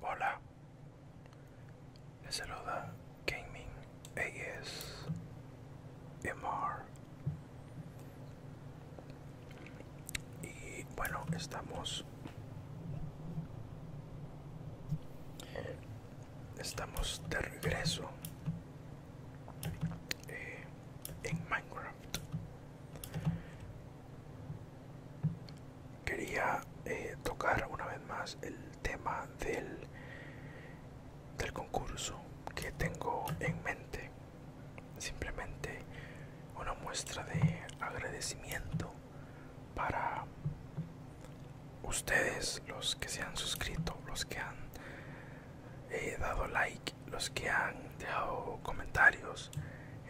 Hola, les saluda Gaming MR Y bueno, estamos. Estamos de regreso eh, en Minecraft. Quería eh, tocar una vez más el tema del, del concurso que tengo en mente. Simplemente una muestra de agradecimiento para ustedes, los que se han suscrito, los que han He dado like, los que han dejado comentarios.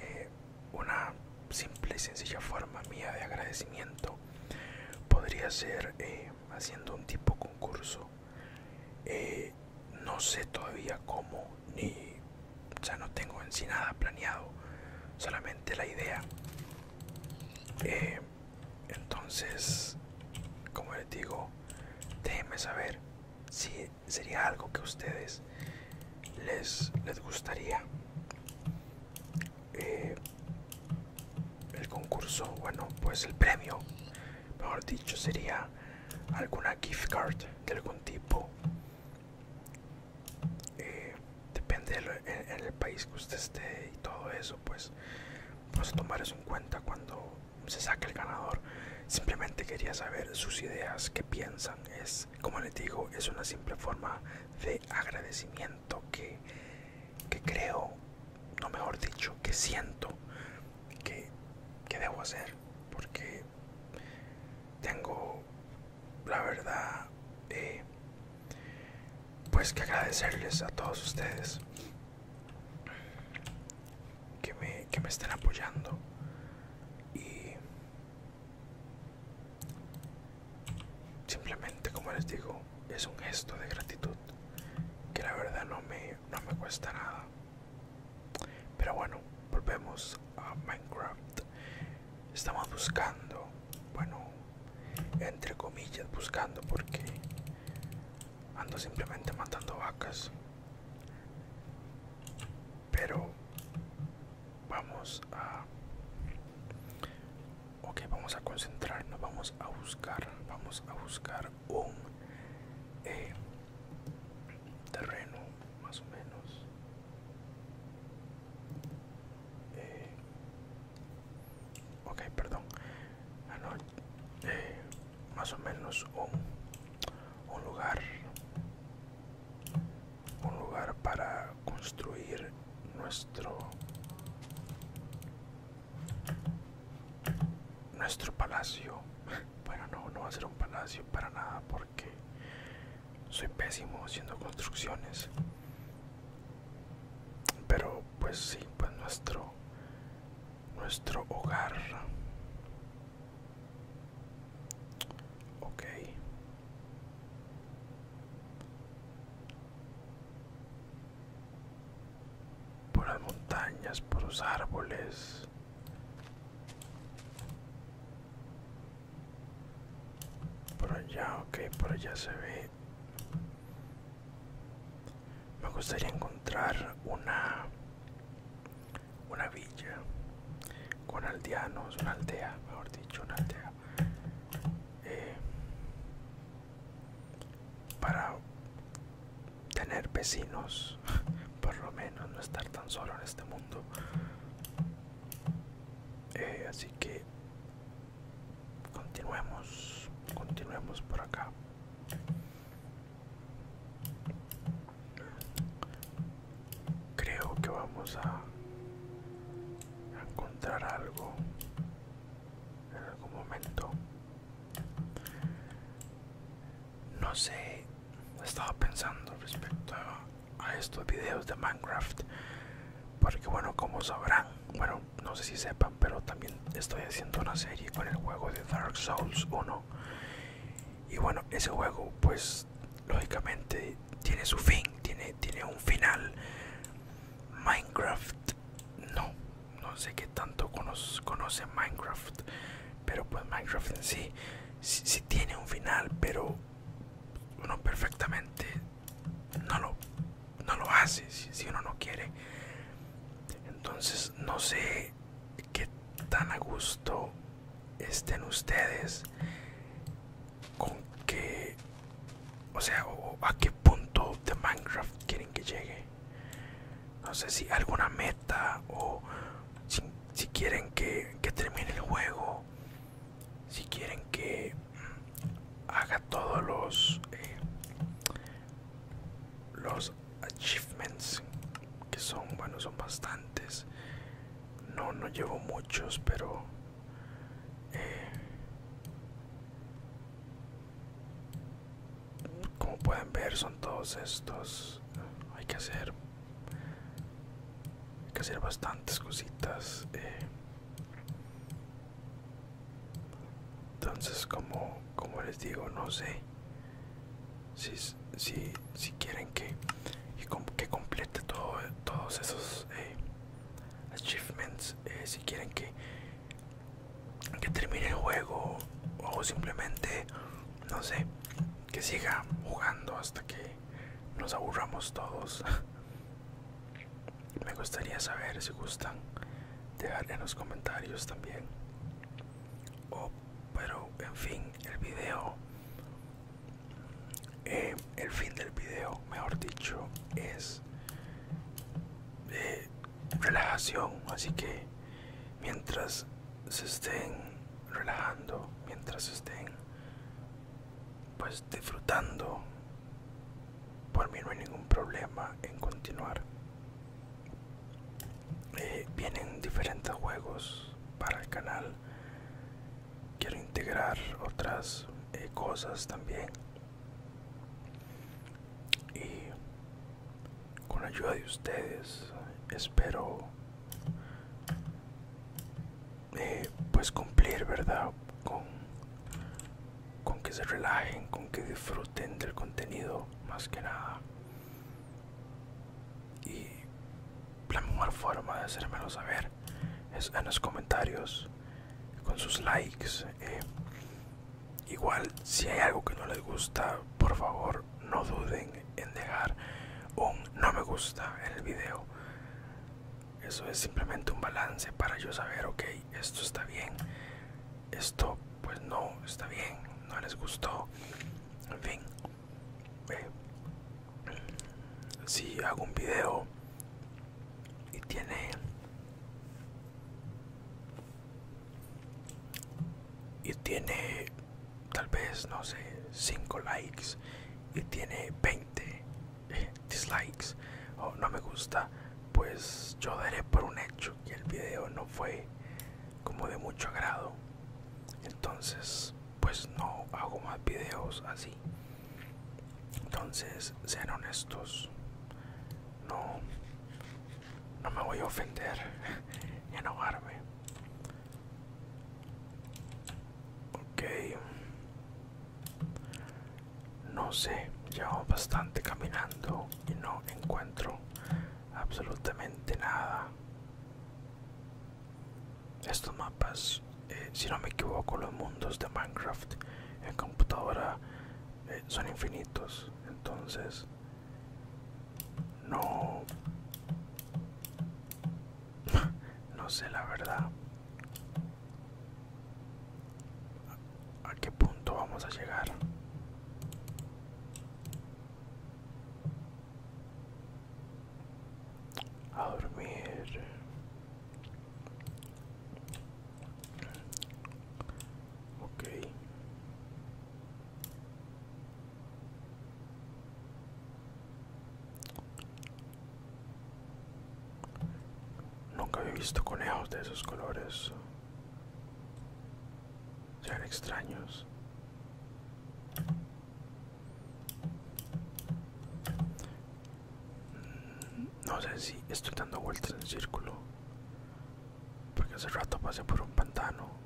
Eh, una simple y sencilla forma mía de agradecimiento podría ser eh, haciendo un tipo concurso. Eh, no sé todavía cómo, ni o no tengo en sí nada planeado, solamente la idea. entonces, como les digo, déjenme saber si sería algo que a ustedes les, gustaría eh, el concurso bueno pues el premio mejor dicho sería alguna gift card de algún tipo eh, depende el país que usted esté y todo eso pues vamos a tomar eso en cuenta cuando se saca el ganador. Simplemente quería saber sus ideas, qué piensan. Es, como les digo, es una simple forma de agradecimiento que, creo, no mejor dicho, que siento que, debo hacer. Porque tengo, la verdad, eh, pues que agradecerles a todos ustedes que me, que me estén apoyando y simplemente como les digo es un gesto de gratitud que la verdad no me, no me cuesta nada pero bueno volvemos a minecraft estamos buscando bueno entre comillas buscando porque ando simplemente matando vacas pero vamos a ok vamos a concentrarnos vamos a buscar vamos a buscar un eh, terreno más o menos eh, ok perdón ah, eh, más o menos un, lugar un lugar para construir nuestro nuestro palacio bueno no no va a ser un palacio para nada porque soy pésimo haciendo construcciones pero pues sí pues nuestro nuestro hogar ok por las montañas por los árboles por allá ok por allá se ve me gustaría encontrar una una villa con aldeanos una aldea mejor dicho una aldea eh, para tener vecinos por lo menos no estar tan solo en este mundo eh, así que continuemos continuemos por acá Creo que vamos a encontrar algo en algún momento. No sé, estaba pensando respecto a, estos videos de Minecraft. Porque bueno, como sabrán, bueno, no sé si sepan, pero también estoy haciendo una serie con el juego de Dark Souls 1. Y bueno, ese juego pues lógicamente tiene su fin, tiene, tiene un final. Minecraft, no, no sé qué tanto conoce, Minecraft, pero pues Minecraft en sí, sí, tiene un final, pero uno perfectamente no lo no lo hace si uno no quiere entonces no sé qué tan a gusto estén ustedes con que o sea o a qué punto de minecraft quieren que llegue no sé si alguna meta o si, quieren que, que termine el juego si quieren que mm, haga todos los eh, los achievements que son bueno son bastantes no no llevo muchos pero eh, como pueden ver son todos estos hay que hacer hay que hacer bastantes cositas eh entonces como les digo no sé si si quieren que que complete todos esos eh, achievements eh, si quieren que que termine el juego o simplemente no sé que siga jugando hasta que nos aburramos todos Me gustaría saber si gustan dejar en los comentarios también. pero en fin, el video, eh, el fin del video, mejor dicho, es de eh, relajación. Así que mientras se estén relajando, mientras se estén pues disfrutando por mí no hay ningún problema en continuar eh, vienen diferentes juegos para el canal quiero integrar otras eh, cosas también y con la ayuda de ustedes espero eh, pues cumplir verdad con con que se relajen, con que disfruten del contenido más que nada. Y la mejor forma de hacérmelo saber es en los comentarios, con sus likes. Eh. Igual, si hay algo que no les gusta, por favor, no duden en dejar un no me gusta el video. Eso es simplemente un balance para yo saber, ok, esto está bien, esto pues no está bien, no les gustó. En fin, si hago un video y tiene y tiene tal vez no sé 5 likes y tiene 20 dislikes o no me gusta, pues yo daré por un hecho que el video no fue como de mucho agrado. Entonces, pues no hago más videos así. Entonces, sean honestos. No, no me voy a ofender ni enojarme. Ok. No sé, llevo bastante caminando y no encuentro absolutamente nada. Estos mapas, eh, si no me equivoco, los mundos de Minecraft en computadora eh, son infinitos, entonces no, no sé la verdad ¿A qué punto vamos a llegar? A dormir. Ok. Nunca había visto conejos de esos colores. Sean extraños. No sé si estoy dando vueltas en el círculo. Porque hace rato pasé por un pantano.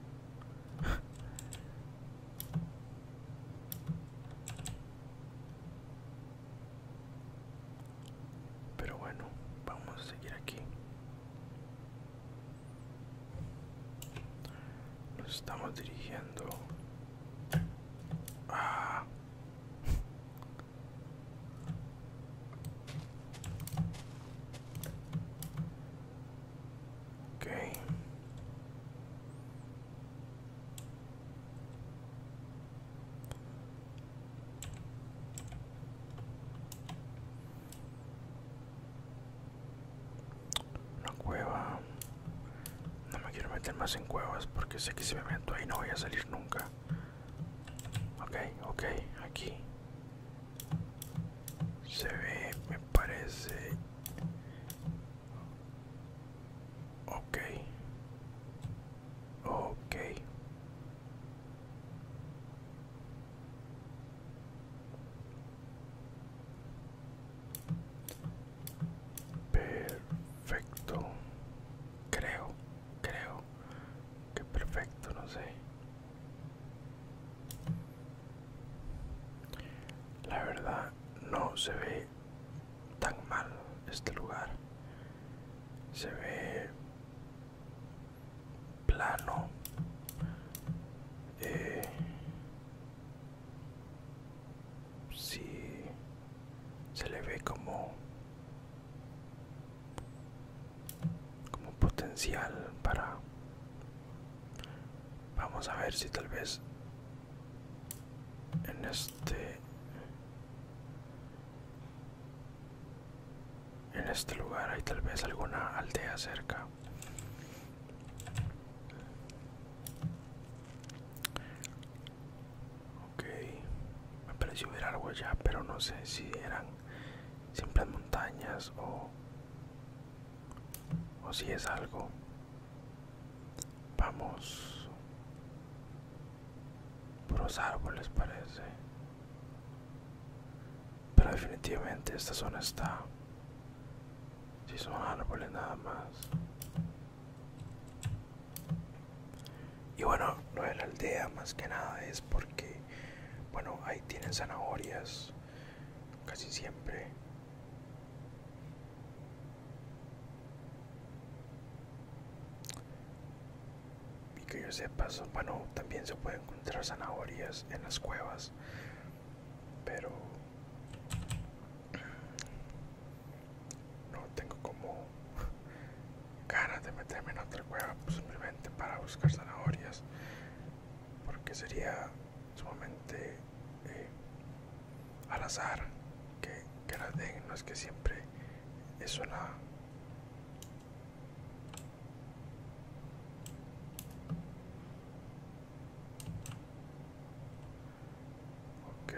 Pero bueno, vamos a seguir aquí. Nos estamos dirigiendo a... Ok. Una cueva. No me quiero meter más en cuevas porque sé que si me meto ahí no voy a salir nunca. Ok, ok, aquí. Se ve, me parece Ok. Ok. Perfecto. Creo, creo que perfecto, no sé. La verdad no se ve tan mal este lugar. Se ve plano. Eh, sí, se le ve como como potencial para vamos a ver si tal vez en este en este lugar hay tal vez alguna aldea cerca ok me pareció ver algo allá pero no sé si eran simples montañas o o si es algo Vamos por los árboles parece. Pero definitivamente esta zona está. Si son árboles nada más. Y bueno, no de la aldea más que nada es porque, bueno, ahí tienen zanahorias casi siempre y que yo sepa, bueno, también se puede encontrar zanahorias en las cuevas, pero no tengo como ganas de meterme en otra cueva pues, simplemente para buscar zanahorias, porque sería sumamente eh, al azar que, que den no es que siempre es una ok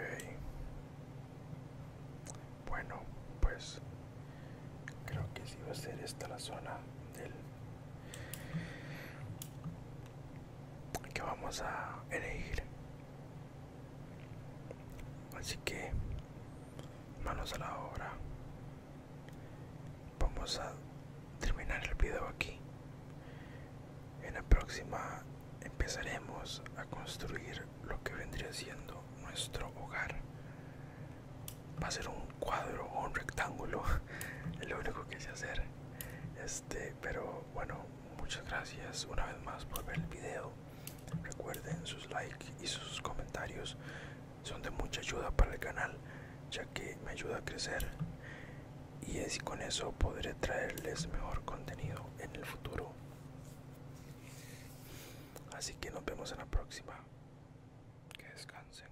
bueno pues creo que sí va a ser esta la zona del que vamos a elegir así que manos a la obra vamos a terminar el video aquí en la próxima empezaremos a construir lo que vendría siendo nuestro hogar va a ser un cuadro o un rectángulo lo único que sé hacer este pero bueno, muchas gracias una vez más por ver el video. Recuerden sus likes y sus comentarios son de mucha ayuda para el canal, ya que me ayuda a crecer y así con eso podré traerles mejor contenido en el futuro. Así que nos vemos en la próxima. Que descansen.